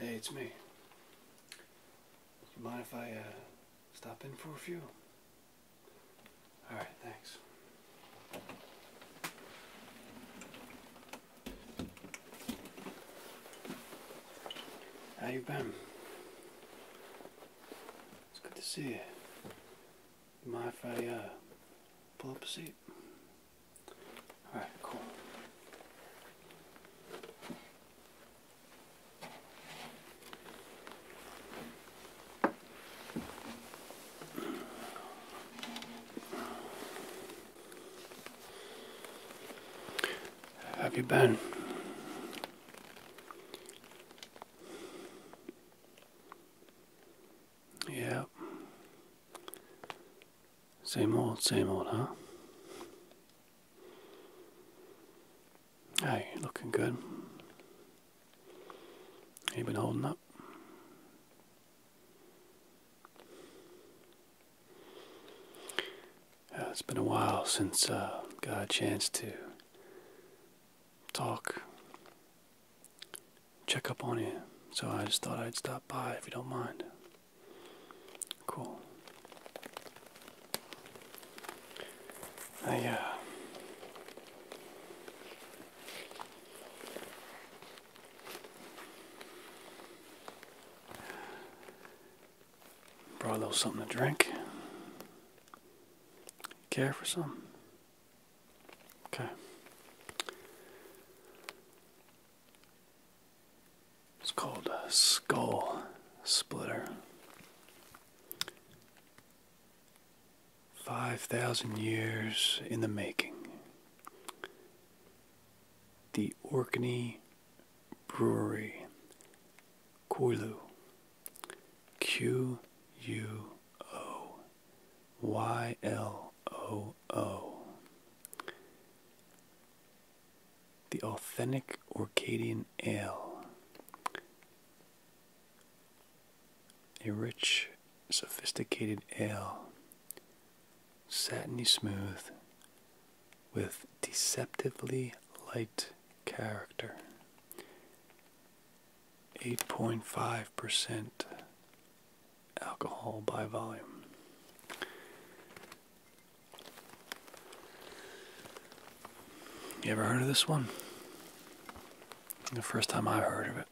Hey, it's me. mind if I uh, stop in for a few? All right, thanks. How you been? It's good to see you. You mind if I uh, pull up a seat? Alright, cool. Have you been? Yeah. Same old, same old, huh? Hey, looking good. You been holding up? Uh, it's been a while since I uh, got a chance to talk, check up on you. So I just thought I'd stop by if you don't mind. Cool. I, uh, Brought a little something to drink. Care for some? Okay. It's called skull splitter. 5,000 years in the making. The Orkney Brewery Quulu. Q U O Y L O O. The authentic Orcadian ale. A rich, sophisticated ale. Satiny smooth, with deceptively light character. 8.5% alcohol by volume. You ever heard of this one? The first time I heard of it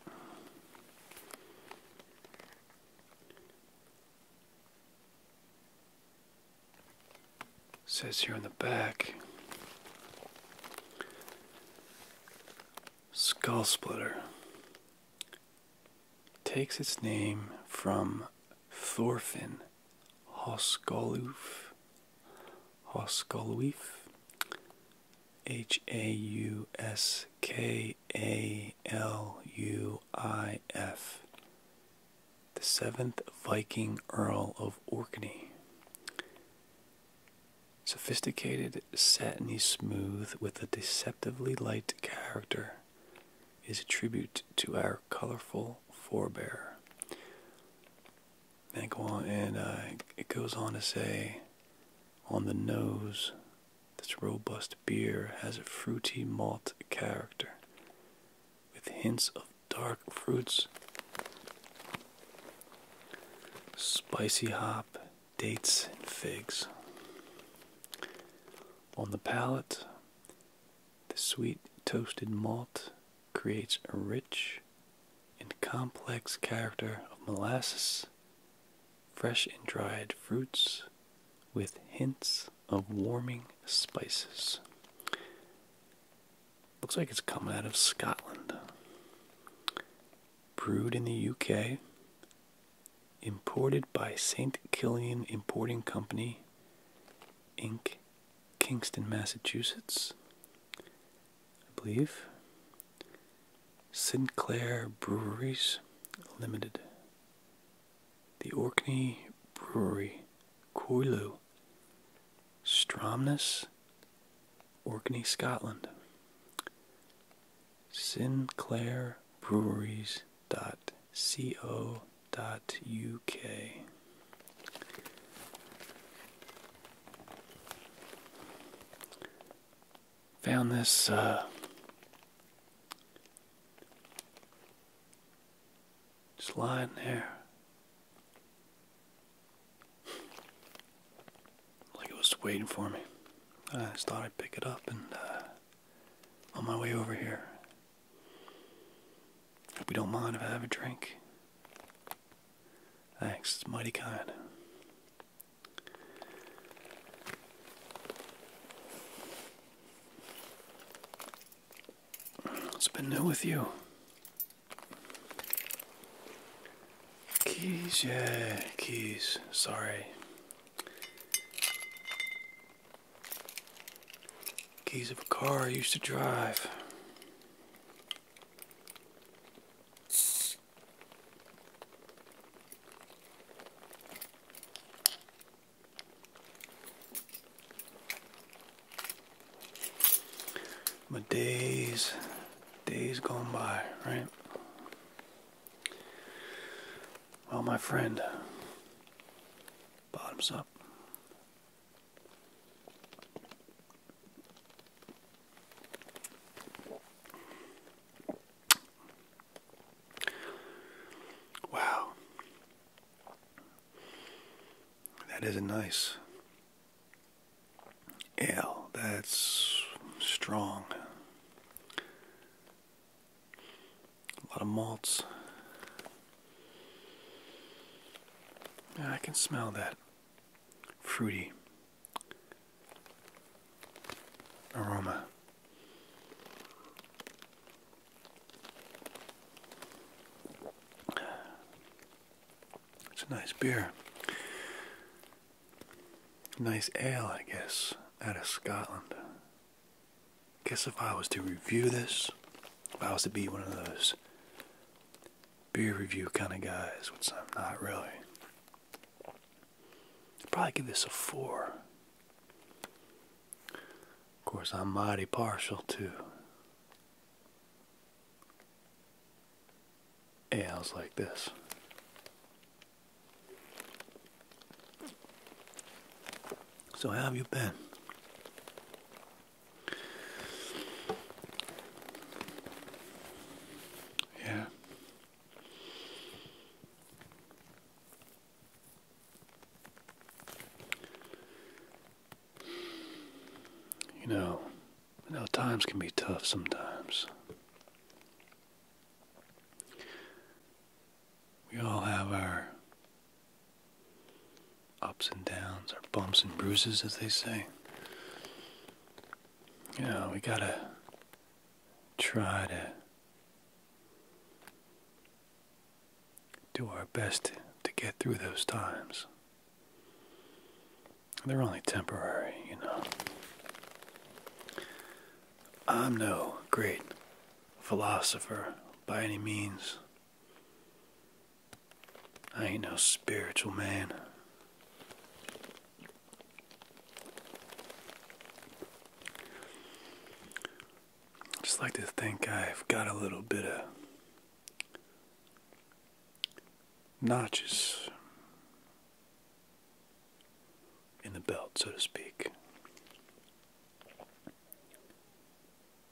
says here in the back skull splitter takes its name from thorfinn hoskoluf hoskoluf h a u s k a l u i f the seventh Viking Earl of Orkney. Sophisticated, satiny smooth, with a deceptively light character, is a tribute to our colorful forebear. Then go on, and uh, it goes on to say, on the nose, this robust beer has a fruity malt character, with hints of dark fruits, spicy hop, dates, and figs. On the palate, the sweet toasted malt creates a rich and complex character of molasses, fresh and dried fruits, with hints of warming spices. Looks like it's coming out of Scotland. Brewed in the UK. Imported by St. Killian Importing Company, Inc., Kingston, Massachusetts. I believe. Sinclair Breweries Limited. The Orkney Brewery, Coilo, Stromness, Orkney, Scotland. Sinclair Breweries dot co dot uk. Found this uh, just lying there. Like it was waiting for me. I just thought I'd pick it up and uh, on my way over here. Hope you don't mind if I have a drink. Thanks, it's mighty kind it has been new with you? Keys, yeah, keys. Sorry. Keys of a car I used to drive. My days, days gone by, right? Well, my friend, bottoms up. Wow. That isn't nice. Ale, that's strong. A lot of malts. I can smell that fruity aroma. It's a nice beer. Nice ale, I guess, out of Scotland. Guess if I was to review this, if I was to be one of those beer review kind of guys, which I'm not really, I'd probably give this a four. Of course, I'm mighty partial to ales like this. So, how have you been? Yeah. You know, I know times can be tough sometimes. We all have our ups and downs, our bumps and bruises, as they say. You know, we gotta try to do our best to get through those times. They're only temporary, you know. I'm no great philosopher by any means. I ain't no spiritual man just like to think I've got a little bit of notches in the belt, so to speak.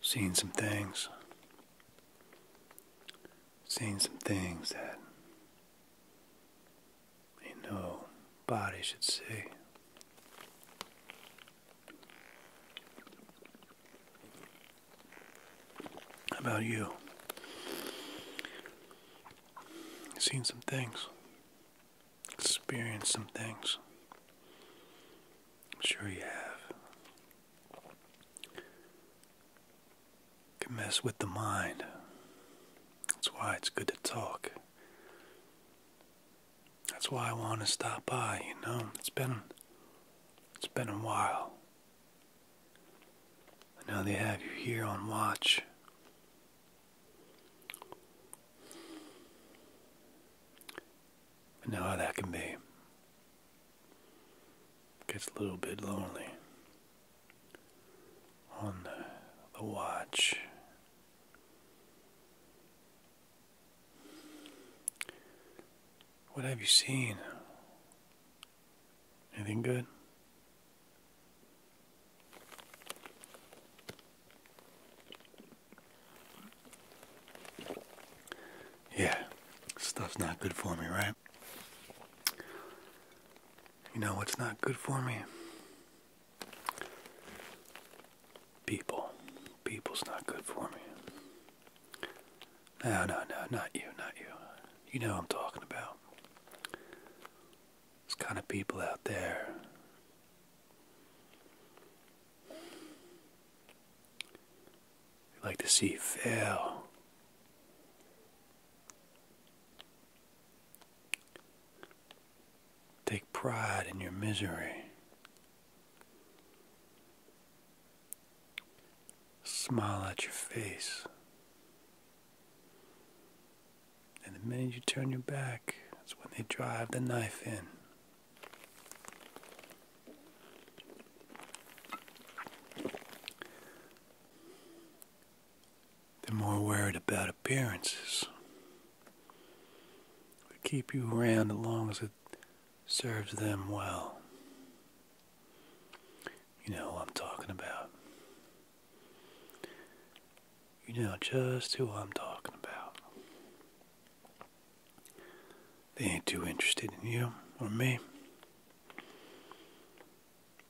Seen some things, seen some things that you know body should see. How about you? Seen some things, experienced some things. I'm sure you have. Can mess with the mind. That's why it's good to talk. That's why I want to stop by, you know. It's been it's been a while. And now they have you here on watch. I know how that can be. gets a little bit lonely on the watch. What have you seen? Anything good? Yeah, stuff's not good for me, right? You know what's not good for me? people. People's not good for me. No, no, no, not you, not you. You know I'm talking about. There's kind of people out there. They like to see fail. Take pride in your misery. Smile at your face. And the minute you turn your back, that's when they drive the knife in. They're more worried about appearances they keep you around as long as it serves them well. You know who I'm talking about. You know just who I'm talking about. They ain't too interested in you or me.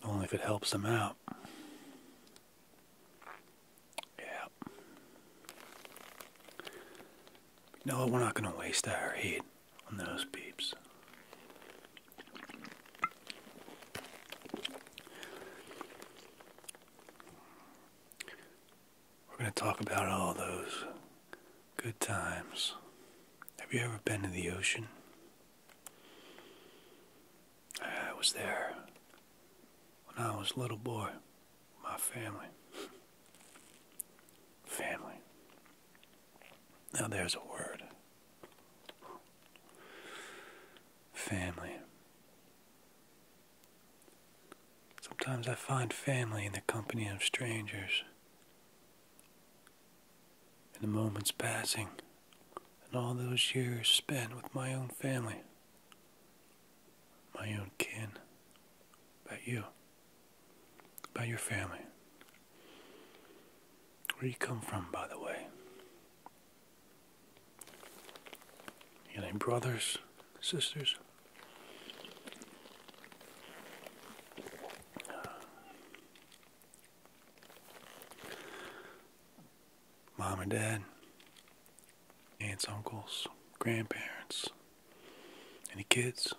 Only if it helps them out. Yeah. You know what? We're not going to waste our heat on those beeps. We're going to talk about all those good times. Have you ever been to the ocean? I was there when I was a little boy my family. Family. Now there's a word. Family. Sometimes I find family in the company of strangers. In the moments passing, and all those years spent with my own family, my own kin, about you, about your family. Where you come from, by the way. You got any brothers, sisters? Mom and Dad, aunts, uncles, grandparents, any kids?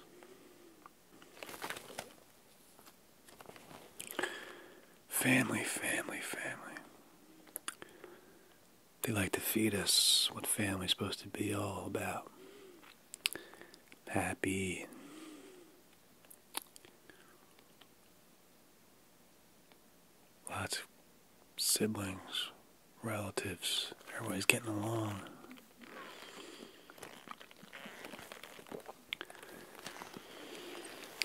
Family, family, family. They like to feed us what family's supposed to be all about. Happy. Lots siblings, relatives, everybody's getting along.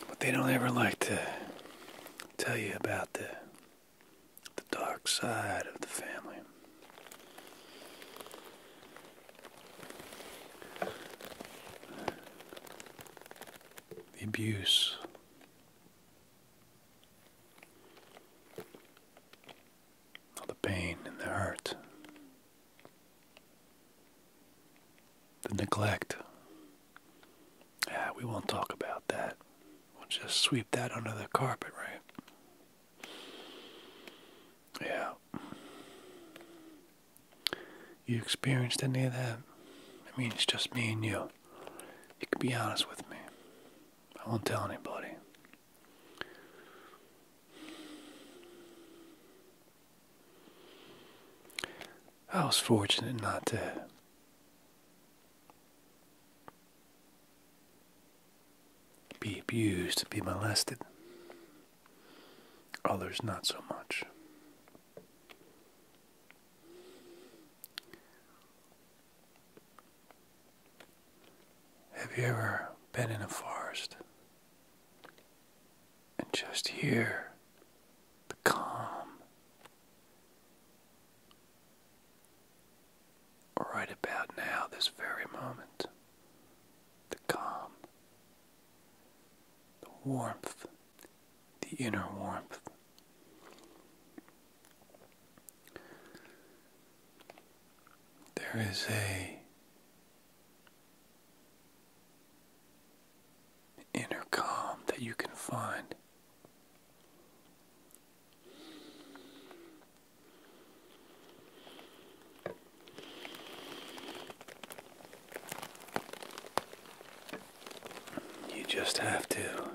But they don't ever like to tell you about the the dark side of the family. The abuse, all the pain and the hurt, the neglect. Ah, we won't talk about that. We'll just sweep that under the carpet, right? Yeah. You experienced any of that? I mean, it's just me and you. You can be honest with me. I won't tell anybody. I was fortunate not to be abused, and be molested. Others not so much. Have you ever been in a forest and just hear the calm right about now, this very moment? The calm, the warmth, the inner warmth. There is a inner calm that you can find. You just have to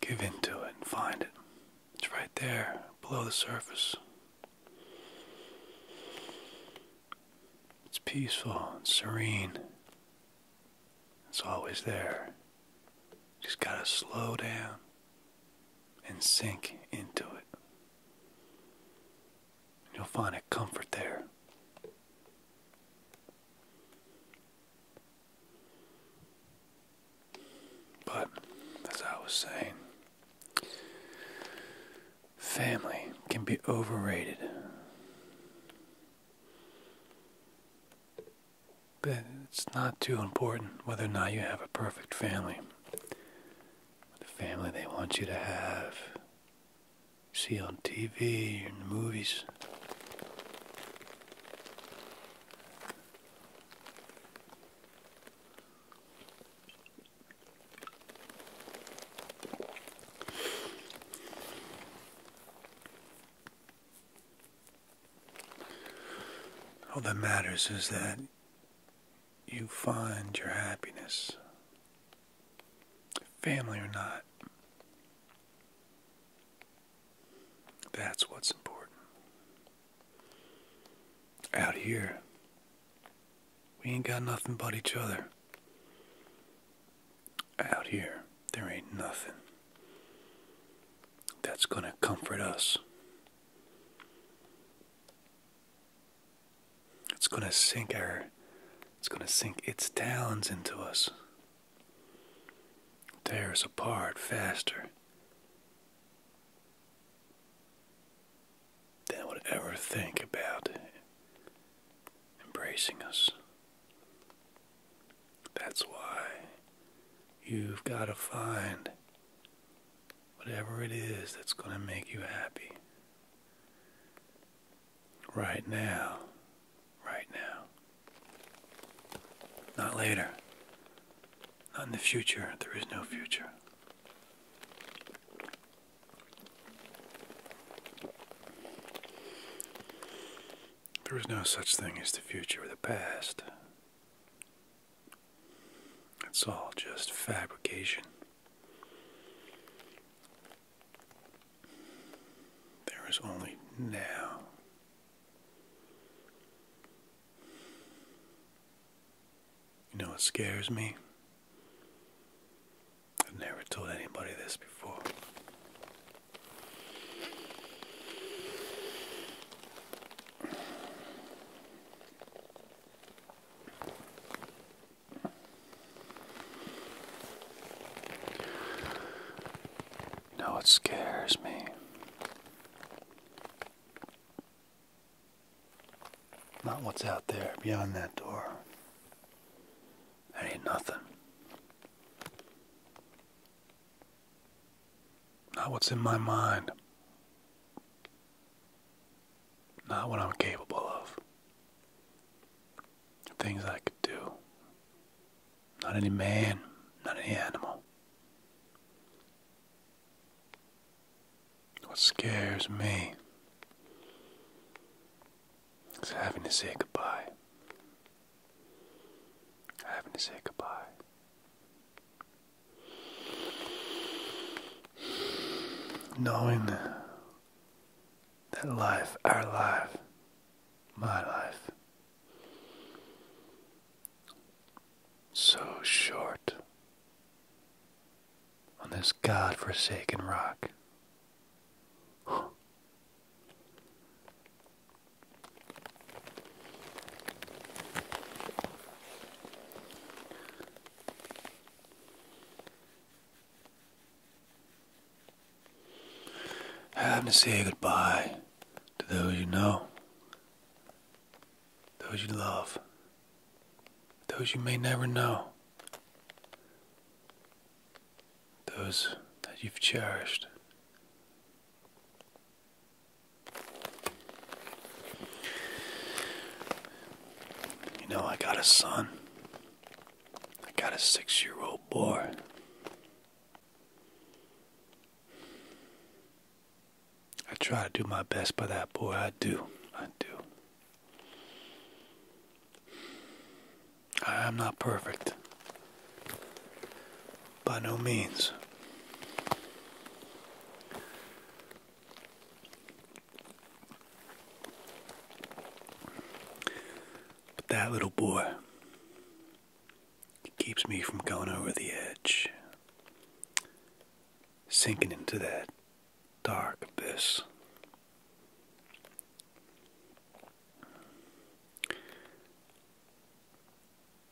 Give into it and find it. It's right there, below the surface. It's peaceful and serene. It's always there. Just gotta slow down and sink into it. you'll find a comfort there. But, as I was saying, family can be overrated. But it's not too important whether or not you have a perfect family. The family they want you to have see on TV and movies. All that matters is that you find your happiness family or not. That's what's important. Out here, we ain't got nothing but each other. Out here, there ain't nothing that's gonna comfort us. It's gonna sink our it's going to sink its talons into us, tear us apart faster than would ever think about embracing us. That's why you've got to find whatever it is that's going to make you happy. Right now. Right now. Not later. Not in the future. There is no future. There is no such thing as the future or the past. It's all just fabrication. There is only now. You know what scares me? I've never told anybody this before. You know scares me? Not what's out there beyond that door. That ain't nothing. Not what's in my mind. Not what I'm capable of things I could do. Not any man, not any animal. What scares me is having to say goodbye. Having to say goodbye. Knowing that life, our life, my life, so short on this God-forsaken rock. Have to say goodbye to those you know, those you love, those you may never know, those that you've cherished. You know, I got a son. I got a six year old boy. I try to do my best by that boy. I do. I do. I am not perfect. By no means. But that little boy keeps me from going over the edge, sinking into that dark abyss.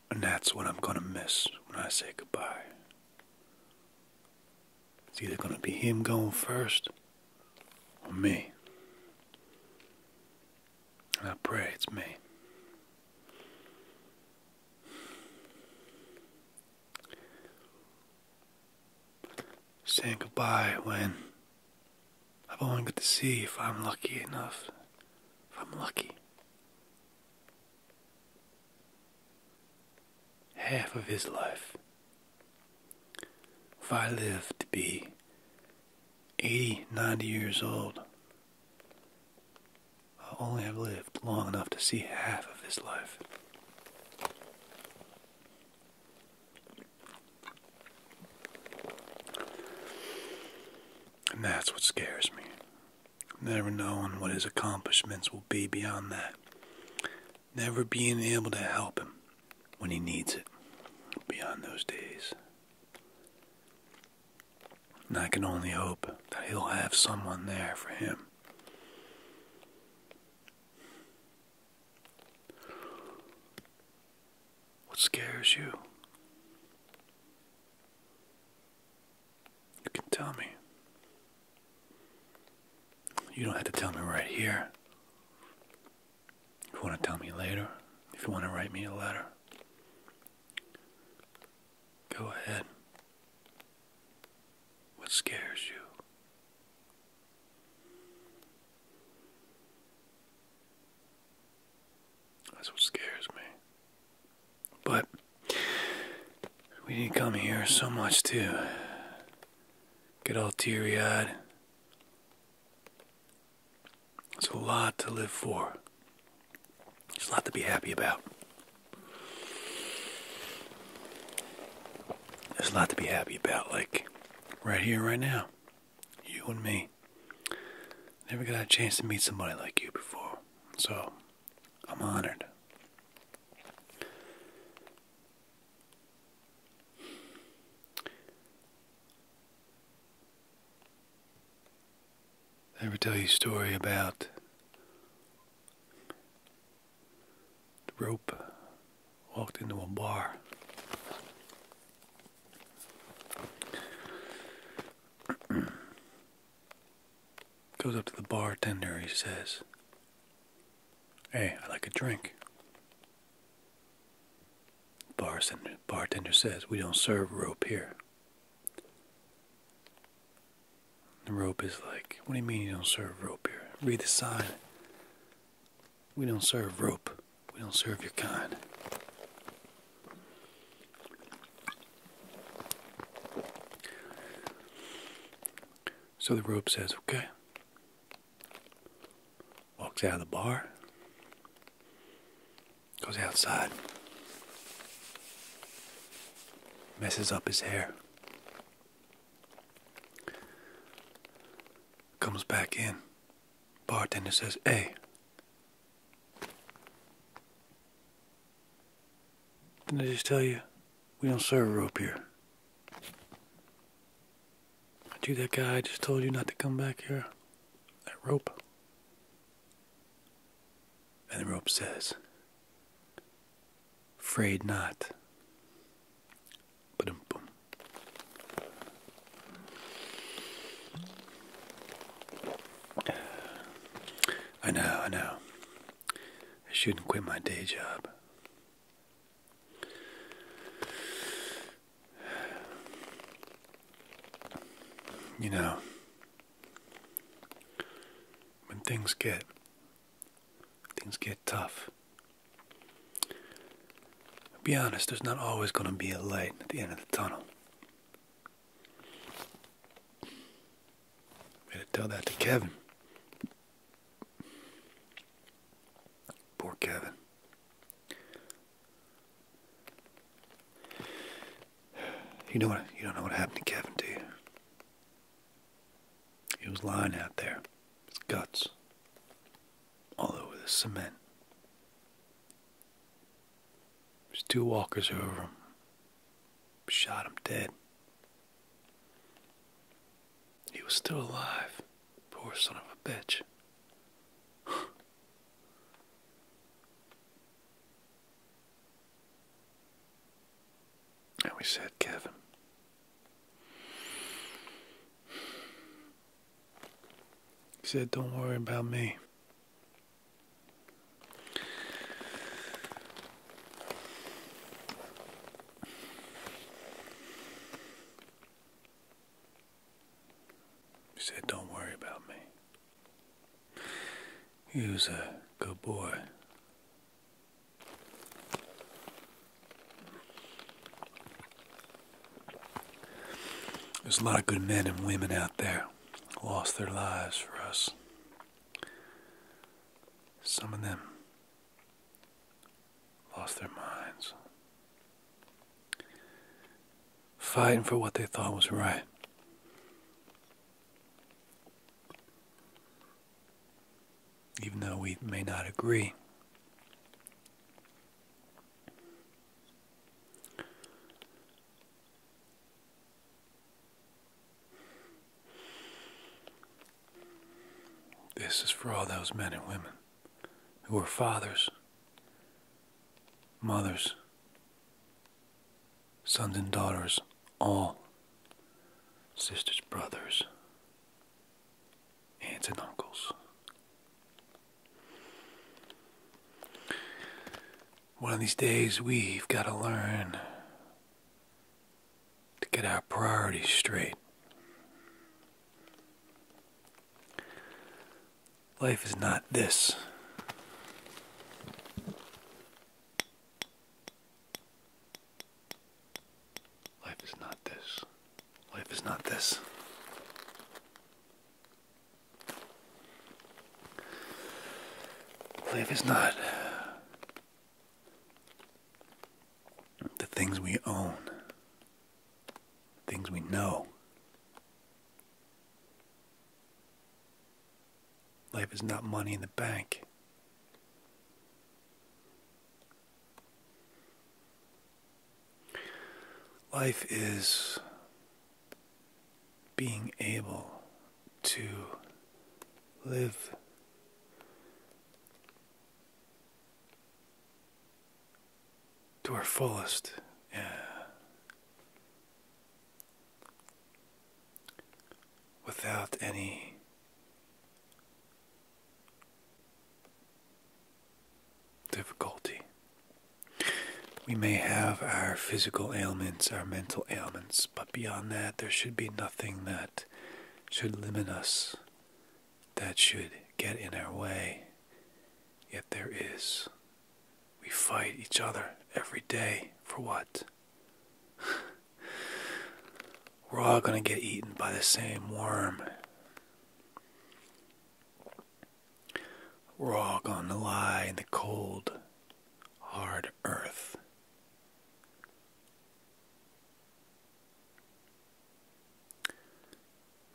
And that's what I'm going to miss when I say goodbye. It's either going to be him going first me. And I pray it's me. Saying goodbye when I've only got to see if I'm lucky enough. If I'm lucky. Half of his life. If I live to be 80, 90 years old, I'll only have lived long enough to see half of his life. And that's what scares me. Never knowing what his accomplishments will be beyond that never being able to help him when he needs it beyond those days. And I can only hope that he'll have someone there for him. What scares you? You can tell me. You don't have to tell me right here. If you want to tell me later, if you want to write me a letter, go ahead. What scares you? That's what scares me. But we didn't come here so much to get all teary eyed there's a lot to live for. There's a lot to be happy about. There's a lot to be happy about, like right here, right now. You and me. Never got a chance to meet somebody like you before. So, I'm honored. I ever tell you a story about the rope? Walked into a bar. Goes up to the bartender, he says, Hey, i like a drink. Bartender, bartender says, We don't serve rope here. The rope is like, What do you mean you don't serve rope here? Read the sign. We don't serve rope. We don't serve your kind. So the rope says, Okay, Walks out of the bar. Goes outside. Messes up his hair. Comes back in. Bartender says, Hey. Didn't I just tell you? We don't serve rope here. Do that guy I just told you not to come back here. That rope. And the rope says, Afraid not. I know, I know. I shouldn't quit my day job. You know, when things get things get tough. i be honest, there's not always going to be a light at the end of the tunnel. Better tell that to Kevin. Poor Kevin. You know what? You don't know what happened to Kevin, do you? He was lying out there, his guts all over the cement. There's two walkers over him, shot him dead. He was still alive. Poor son of a bitch. and we said, Kevin. He said, Don't worry about me. He said, Don't worry about me. He was a good boy. There's a lot of good men and women out there lost their lives for us. Some of them lost their minds, fighting for what they thought was right. Even though we may not agree. This is for all those men and women who are fathers, mothers, sons and daughters, all sisters, brothers, aunts and uncles. One of these days, we've got to learn to get our priorities straight. Life is not this. Life is not this. Life is not this. Life is not the things we own, things we know. Life is not money in the bank. Life is being able to live to our fullest. Yeah. Without any difficulty. We may have our physical ailments, our mental ailments, but beyond that, there should be nothing that should limit us that should get in our way. Yet there is. We fight each other every day for what? We're all going to get eaten by the same worm. We're all going to lie in the cold, hard earth.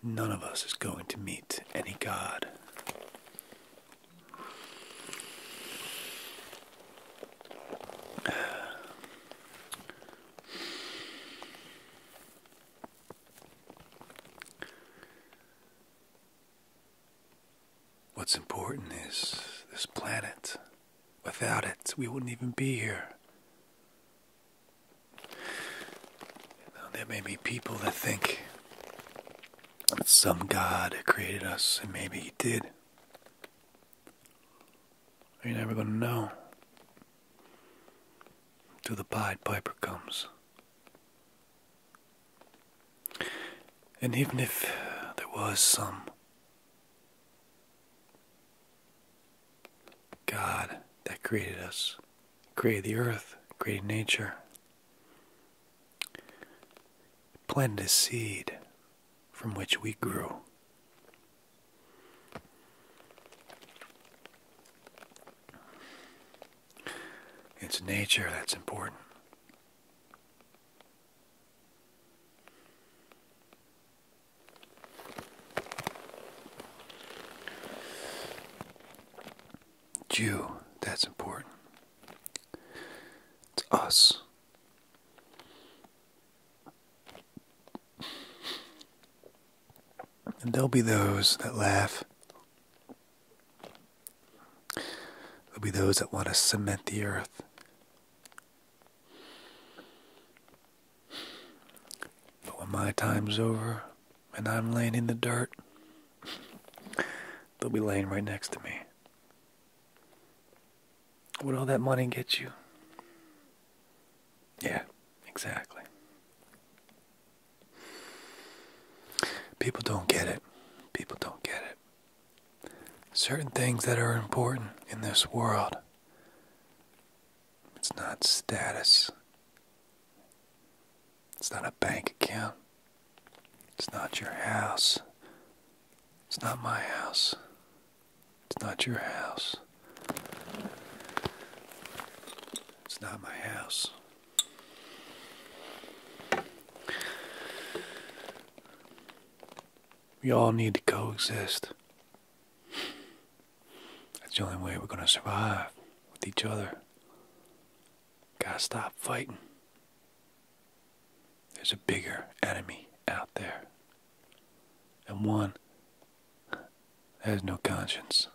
None of us is going to meet any God. What's important is this planet. Without it, we wouldn't even be here. there may be people that think some God created us, and maybe He did. You're never going to know till the Pied Piper comes. And even if there was some God that created us, created the earth, created nature, planted a seed from which we grew. It's nature that's important. Jew, that's important. It's us. And there'll be those that laugh. There'll be those that want to cement the earth. But when my time's over and I'm laying in the dirt, they'll be laying right next to me. What all that money get you? Yeah, exactly. People don't get it. People don't get it. Certain things that are important in this world it's not status. It's not a bank account. It's not your house. It's not my house. It's not your house. It's not my house. We all need to coexist. That's the only way we're going to survive with each other. Gotta stop fighting. There's a bigger enemy out there. And one that has no conscience.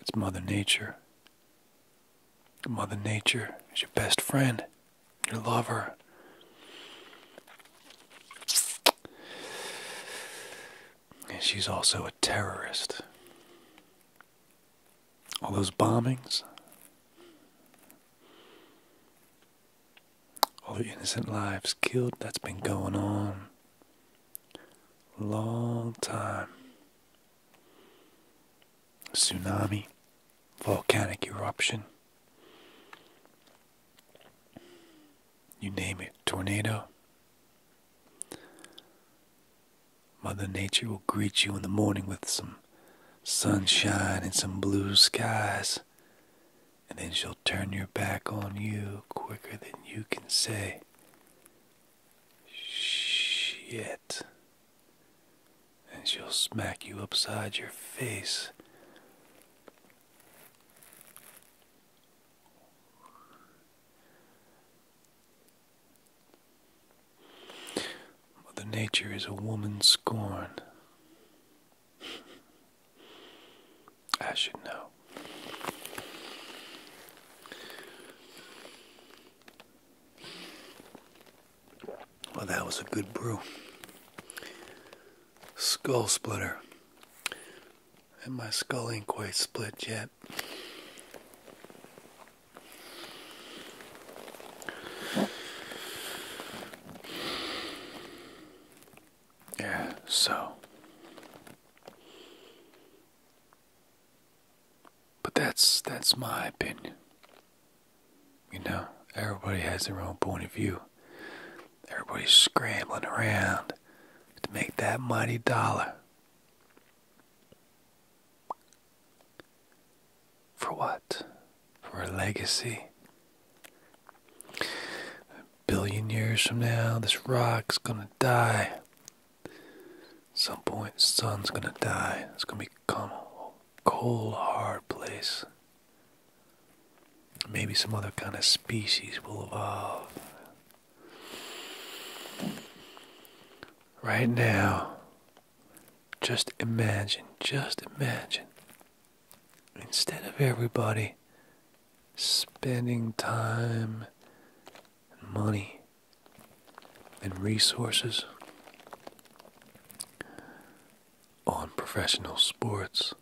It's Mother Nature. Mother Nature is your best friend. I love her. she's also a terrorist. All those bombings, all the innocent lives killed, that's been going on long time. Tsunami, volcanic eruption. You name it, tornado. Mother Nature will greet you in the morning with some sunshine and some blue skies, and then she'll turn your back on you quicker than you can say, Shit and she'll smack you upside your face. Mother Nature is a woman scorned. I should know. Well, that was a good brew. Skull splitter. And my skull ain't quite split yet. Yeah, so. But that's that's my opinion. You know, everybody has their own point of view. Everybody's scrambling around to make that money dollar. For what? For a legacy. A billion years from now, this rock's gonna die. some point, sun's gonna die. It's gonna become a cold, hard place. Maybe some other kind of species will evolve. Right now, just imagine, just imagine, instead of everybody spending time money and resources on professional sports,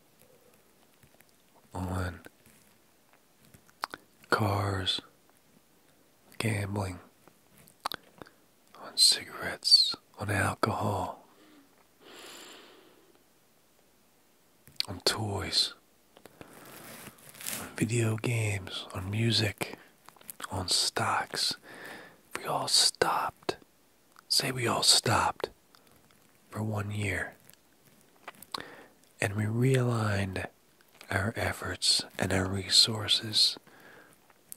on cars, gambling, on cigarettes, on alcohol, on toys, on video games, on music, on stocks. If we all stopped say we all stopped for one year and we realigned our efforts and our resources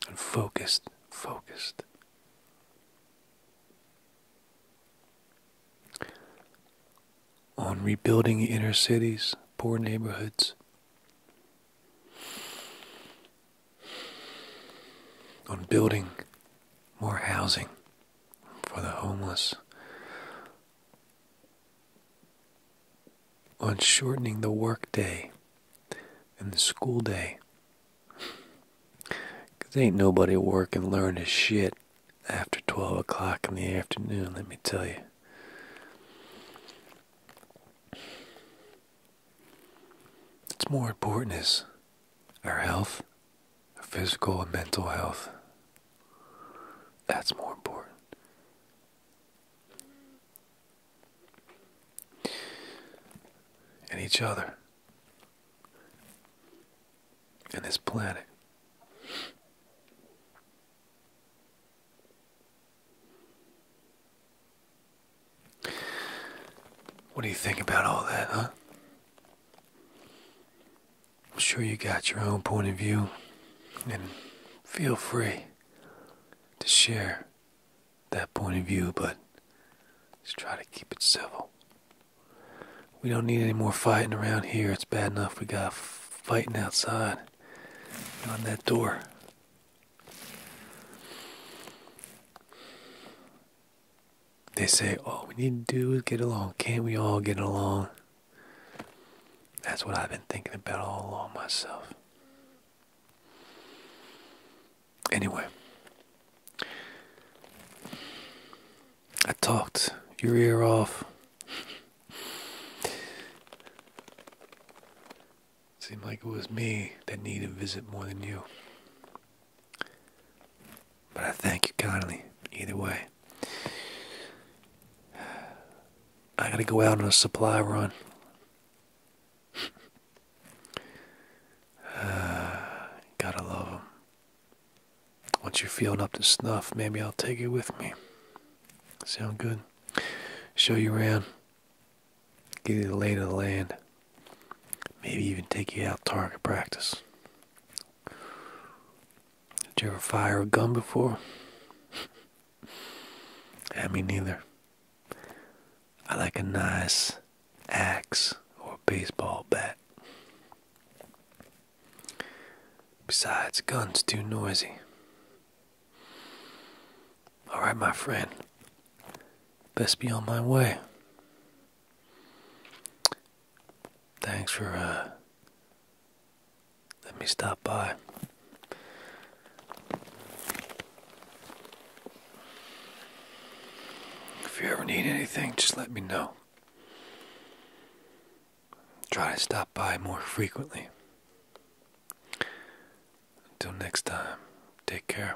and focused, focused. On rebuilding inner cities, poor neighborhoods, on building more housing for the homeless, on shortening the workday and the school day. 'Cause Because ain't nobody working learning shit after 12 o'clock in the afternoon, let me tell you. What's more important is our health, physical and mental health. That's more important. And each other. And this planet. What do you think about all that, huh? I'm sure you got your own point of view, and feel free to share that point of view, but let's try to keep it civil. We don't need any more fighting around here. It's bad enough we got fighting outside on that door. They say all we need to do is get along. Can't we all get along? That's what I've been thinking about all along myself. Anyway, I talked your ear off. Seemed like it was me that needed a visit more than you. But I thank you kindly, either way. I gotta go out on a supply run. Uh, gotta love Once you're feeling up to snuff, maybe I'll take you with me. Sound good? Show you around. Give you the lay of the land. Maybe even take you out target practice. Did you ever fire a gun before? I mean, neither. I like a nice axe or baseball bat. Besides, gun's too noisy. Alright, my friend best be on my way. Thanks for uh, letting me stop by. If you ever need anything, just let me know. Try to stop by more frequently. Until next time, take care.